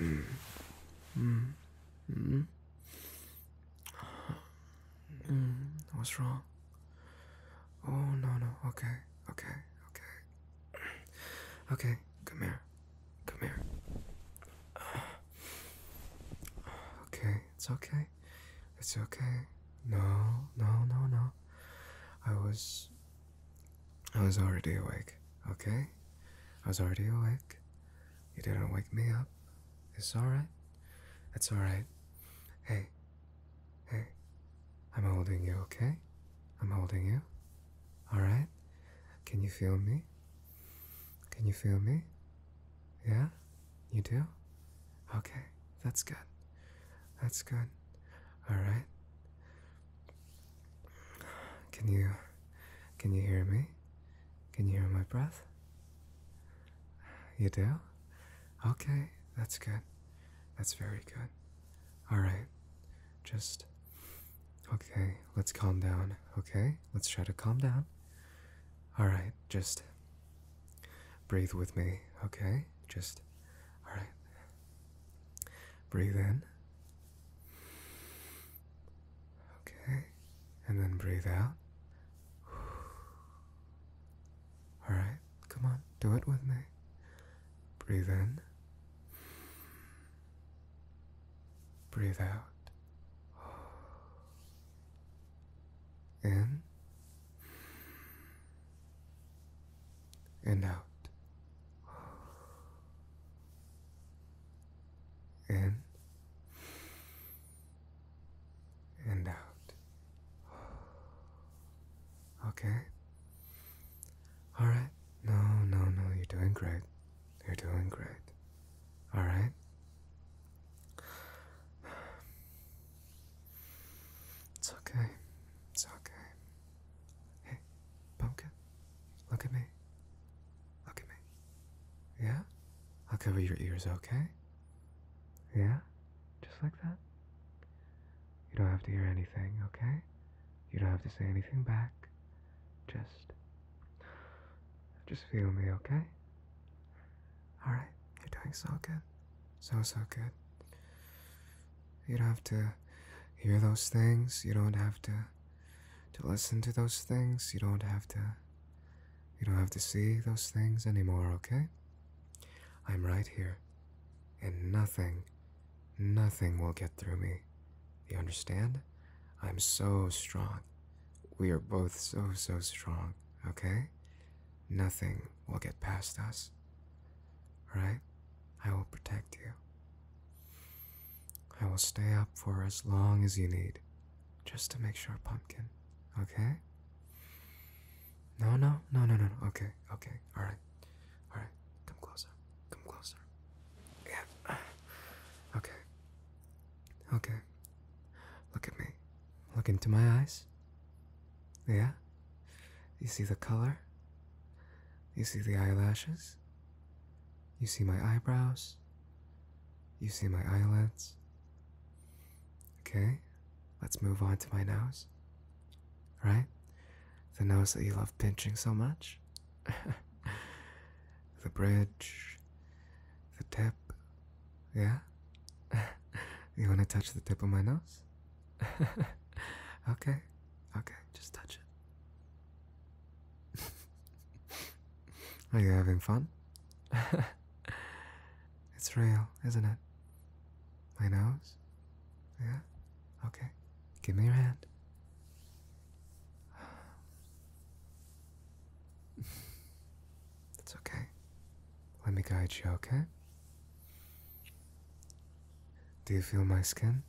Mm. Mm. Mm. What's wrong? Oh, no, no. Okay, okay, okay. Okay, come here. Come here. Okay, it's okay. It's okay. No, no, no, no. I was I was already awake, okay? I was already awake. You didn't wake me up. It's alright. That's alright. Hey, hey, I'm holding you, okay? I'm holding you. Alright? Can you feel me? Can you feel me? Yeah? You do? Okay, that's good. That's good. Alright? Can you can you hear me? Can you hear my breath? You do? Okay, that's good. That's very good. All right. Just Okay, let's calm down. Okay? Let's try to calm down. All right, just breathe with me. Okay? Just All right. Breathe in. Okay. And then breathe out. All right. Come on. Do it with me. Breathe in. Breathe out. In and out in and out. Okay? Alright. No, no, no, you're doing great. You're doing great. Alright? It's okay. It's okay. Hey, pumpkin, look at me. Look at me. Yeah? I'll cover your ears, okay? Yeah? Just like that? You don't have to hear anything, okay? You don't have to say anything back. Just. Just feel me, okay? Alright, you're doing so good. So, so good. You don't have to hear those things. You don't have to to listen to those things. You don't have to you don't have to see those things anymore, okay? I'm right here. And nothing, nothing will get through me. You understand? I'm so strong. We are both so, so strong, okay? Nothing will get past us. Right? I will protect you. I will stay up for as long as you need, just to make sure, pumpkin. Okay? No, no, no, no, no, Okay, okay. Alright. Alright. Come closer. Come closer. Yeah. Okay. Okay. Look at me. Look into my eyes. Yeah? You see the color? You see the eyelashes? You see my eyebrows? You see my eyelids? Okay, let's move on to my nose. Right? The nose that you love pinching so much? the bridge, the tip, yeah? you want to touch the tip of my nose? okay, okay, just touch it. Are you having fun? it's real, isn't it? My nose? Yeah? Okay, give me your hand. It's okay. Let me guide you, okay? Do you feel my skin?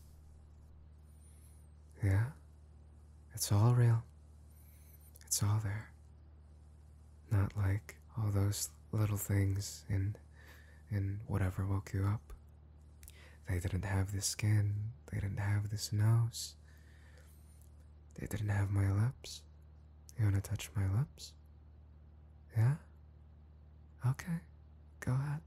Yeah? It's all real. It's all there. Not like all those little things in in whatever woke you up. They didn't have this skin, they didn't have this nose. They didn't have my lips. You wanna touch my lips? Yeah? Okay, go ahead.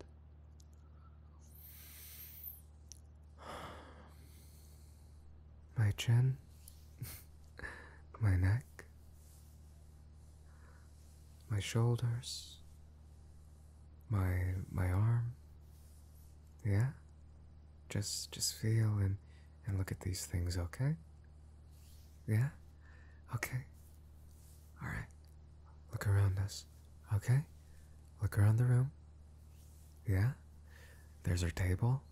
My chin, my neck, my shoulders, my my arm. Yeah? Just just feel and and look at these things, okay? Yeah? Okay? Alright. Look around us. Okay? Look around the room. Yeah? There's our table.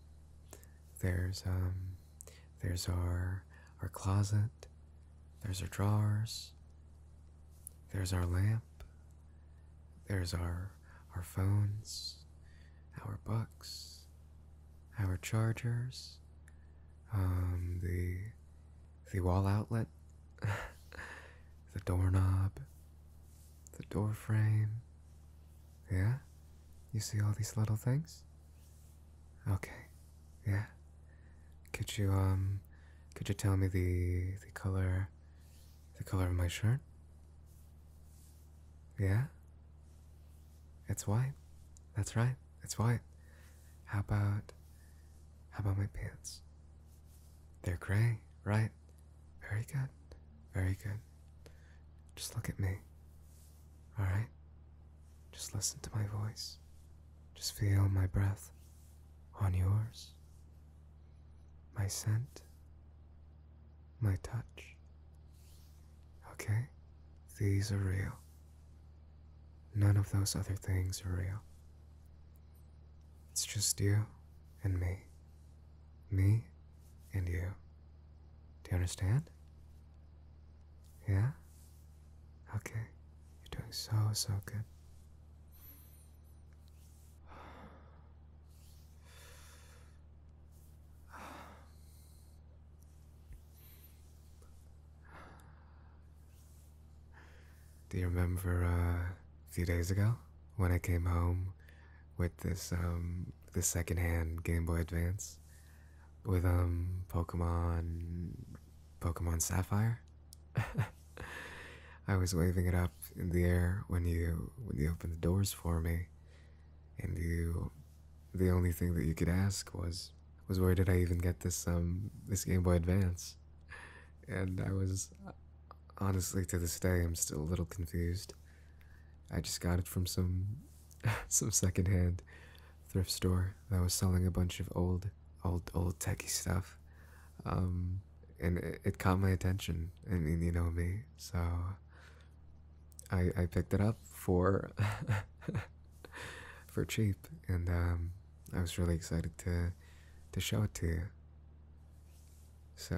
There's, um, there's our, our closet. There's our drawers. There's our lamp. There's our, our phones, our books, our chargers, um, the the wall outlet, the doorknob, the door frame. Yeah, you see all these little things. Okay, yeah. Could you um, could you tell me the the color, the color of my shirt? Yeah. It's white. That's right. It's white. How about. How about my pants? They're gray, right? Very good. Very good. Just look at me. Alright? Just listen to my voice. Just feel my breath on yours. My scent. My touch. Okay? These are real. None of those other things are real. It's just you and me. Me and you. Do you understand? Yeah? Okay. You're doing so, so good. Do you remember uh, a few days ago when I came home with this um the secondhand Game Boy Advance with um Pokemon Pokemon Sapphire? I was waving it up in the air when you when you opened the doors for me, and you the only thing that you could ask was was where did I even get this um this Game Boy Advance? And I was honestly to this day I'm still a little confused. I just got it from some some secondhand thrift store that was selling a bunch of old old old techie stuff. Um, and it, caught my attention. And you know me. So I I picked it up for for cheap, and um, I was really excited to to show it to you. So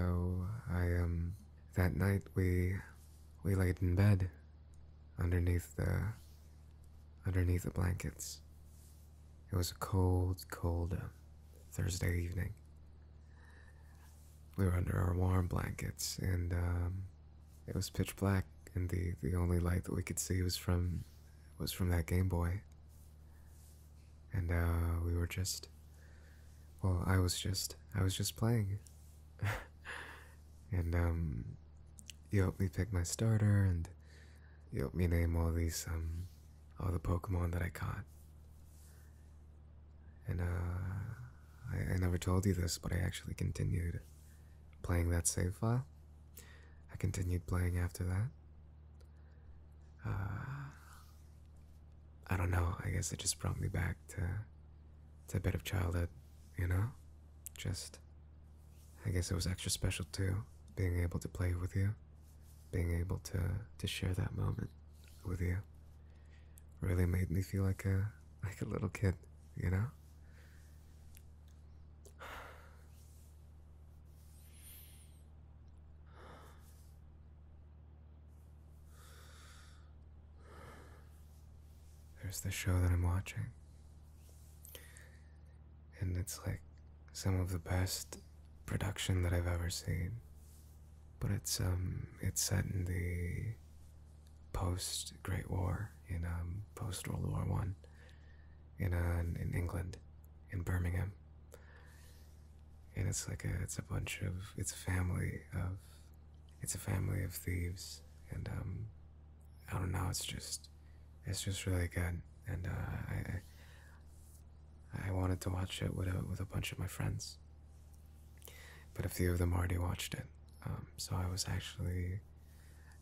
I um that night we we laid in bed underneath the underneath the blankets. It was a cold, cold um, Thursday evening. We were under our warm blankets, and um, it was pitch black, and the the only light that we could see was from was from that Game Boy. And uh, we were just, well, I was just, I was just playing. and um, you helped me pick my starter, and you helped me name all these um, all the Pokemon that I caught. And uh, I, I never told you this, but I actually continued playing that save file. I continued playing after that. Uh, I don't know, I guess it just brought me back to, to a bit of childhood, you know? Just, I guess it was extra special too, being able to play with you, being able to, to share that moment with you. Really made me feel like a, like a little kid, you know? There's the show that I'm watching. And it's like some of the best production that I've ever seen. But it's um it's set in the post Great War, in um, post World War One, uh, in in England, in Birmingham. And it's like a it's a bunch of it's a family of it's a family of thieves, and um, I don't know. It's just it's just really good, and uh, I wanted to watch it with with a bunch of my friends, but a few of them already watched it. Um, so I was actually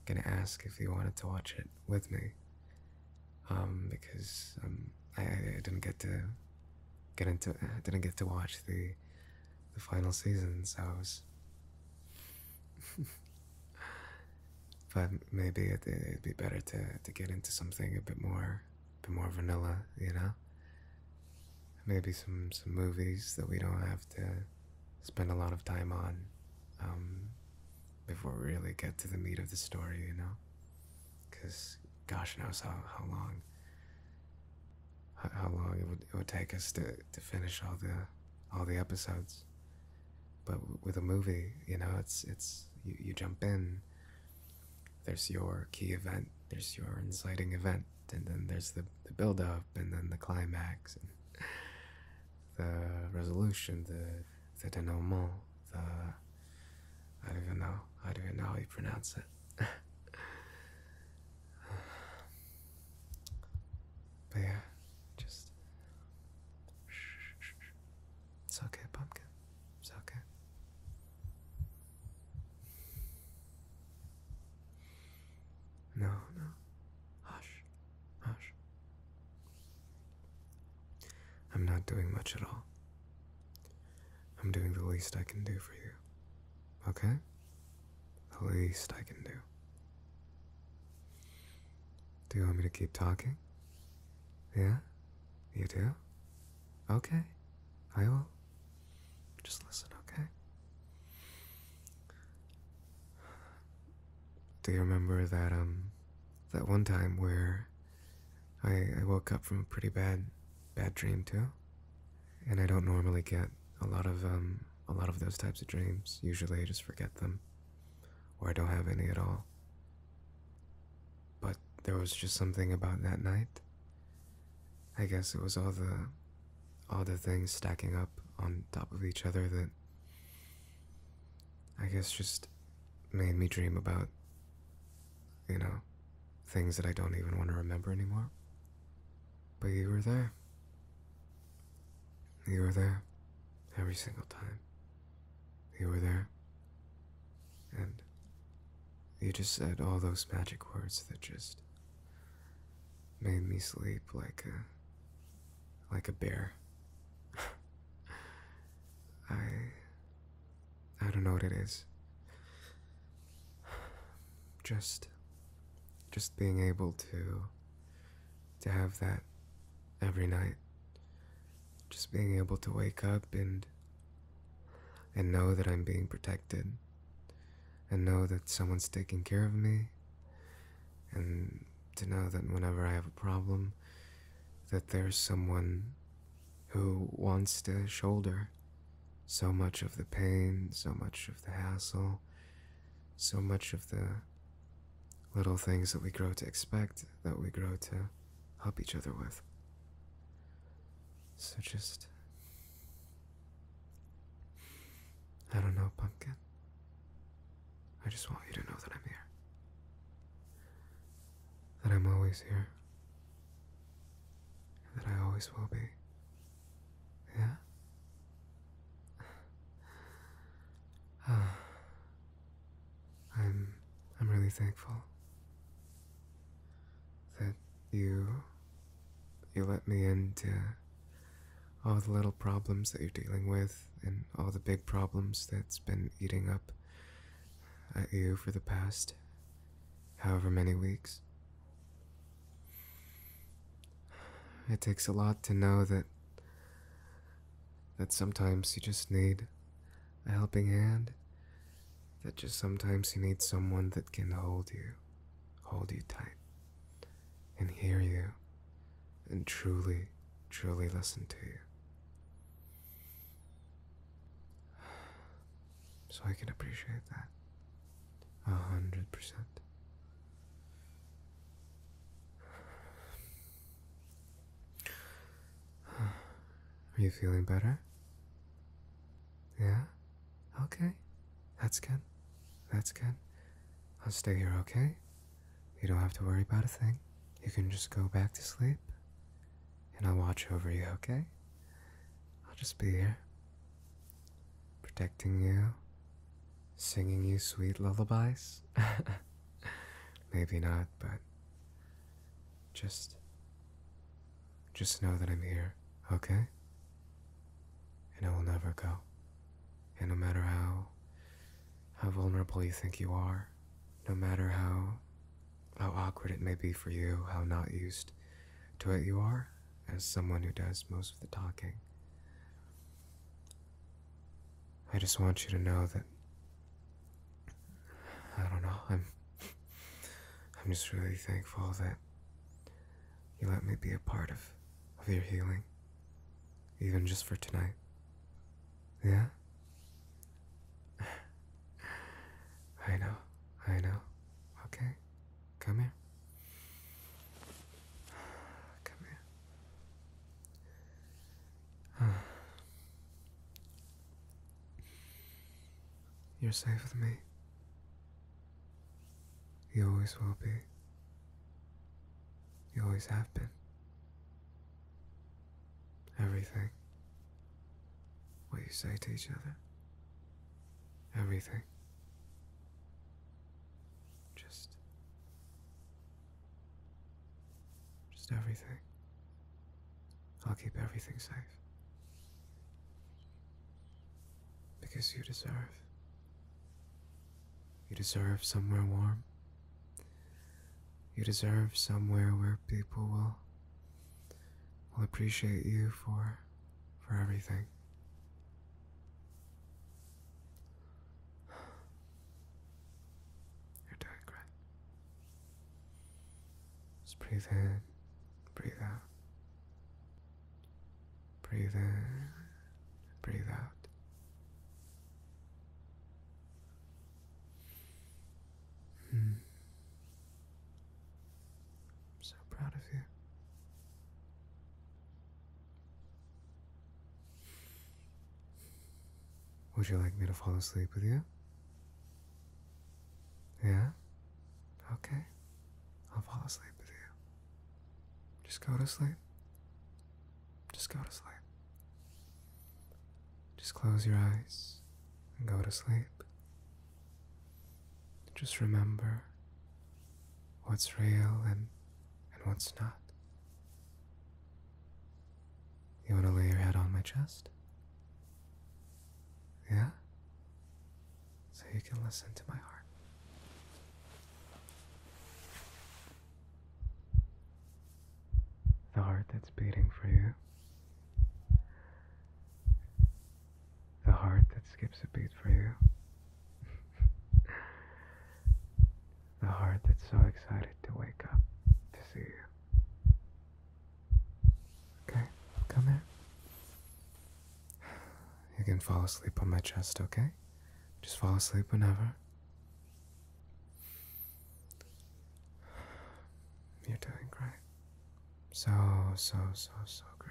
gonna ask if you wanted to watch it with me, um, because um, I, didn't get to get into, uh, didn't get to watch the the final season. So I was, but maybe it, it'd be better to to get into something a bit more, a bit more vanilla, you know maybe some some movies that we don't have to spend a lot of time on um, before we really get to the meat of the story, you know? Because gosh knows how, how long how, long it would, it would take us to, to finish all the all the episodes. But with a movie, you know, it's it's you jump in. There's your key event. There's your inciting event and then there's the, the build up and then the climax and the resolution the the denouement the i don't even know i don't even know how you pronounce it but yeah just it's okay pumpkin it's okay no, no. Hush. Hush. I'm not doing much at all. I'm doing the least I can do for you. Okay? The least I can do. Do you want me to keep talking? Yeah? You do? Okay. I will. Just listen, okay? Do you remember that, um, that one time where I, I woke up from a pretty bad, bad dream too? And I don't normally get a lot of, um, a lot of those types of dreams. Usually I just forget them. Or I don't have any at all. But there was just something about that night I guess it was all the all the things stacking up on top of each other that I guess just made me dream about you know things that I don't even want to remember anymore. But you were there. You were there every single time. You were there. And you just said all those magic words that just Made me sleep like a like a bear. I I don't know what it is. Just just being able to to have that every night. Just being able to wake up and and know that I'm being protected, and know that someone's taking care of me, and to know that whenever I have a problem, that there's someone who wants to shoulder so much of the pain, so much of the hassle, so much of the little things that we grow to expect, that we grow to help each other with. So just I don't know, Pumpkin. I just want you to know that I'm here. That I'm always here. that I always will be. Yeah? I'm I'm really thankful that you you let me into all the little problems that you're dealing with and all the big problems that's been eating up at you for the past however many weeks. It takes a lot to know that that sometimes you just need a helping hand that just sometimes you need someone that can hold you, hold you tight, and hear you, and truly, truly listen to you. So I can appreciate that. A hundred percent. Are you feeling better? Yeah? Okay. That's good. That's good. I'll stay here, okay? You don't have to worry about a thing. You can just go back to sleep. And I'll watch over you, okay? I'll just be here. Protecting you. Singing you sweet lullabies. Maybe not, but just just know that I'm here, okay? And I will never go. And no matter how how vulnerable you think you are, no matter how how awkward it may be for you, how not used to it you are, as someone who does most of the talking. I just want you to know that I don't know, I'm I'm just really thankful that you let me be a part of, of your healing, even just for tonight. Yeah? I know, I know. Okay, come here. Come here. You're safe with me. You always will be. You always have been. Everything. What you say to each other. Everything. Just. Just everything. I'll keep everything safe. Because you deserve. You deserve somewhere warm. You deserve somewhere where people will will appreciate you for for everything. You're doing great. Just breathe in, breathe out. Breathe in, breathe out. Hmm. I'm so proud of you. Would you like me to fall asleep with you? Yeah? Okay. I'll fall asleep with you. Just go to sleep. Just go to sleep. Just close your eyes and go to sleep. Just remember what's real and, and what's not. You want to lay your head on my chest? Yeah? So you can listen to my heart. The heart that's beating for you. The heart that skips a beat for you. the heart that's so excited to wake up to see you. Okay, come here. You can fall asleep on my chest, okay? Just fall asleep whenever. You're doing great. So, so, so, so great.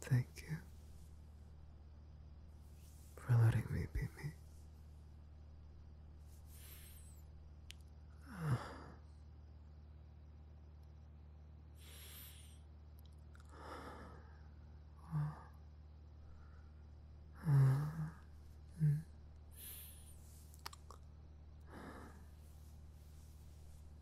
Thank you for letting me be me.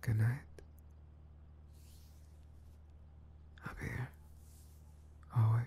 Good night. I'll be here. Always.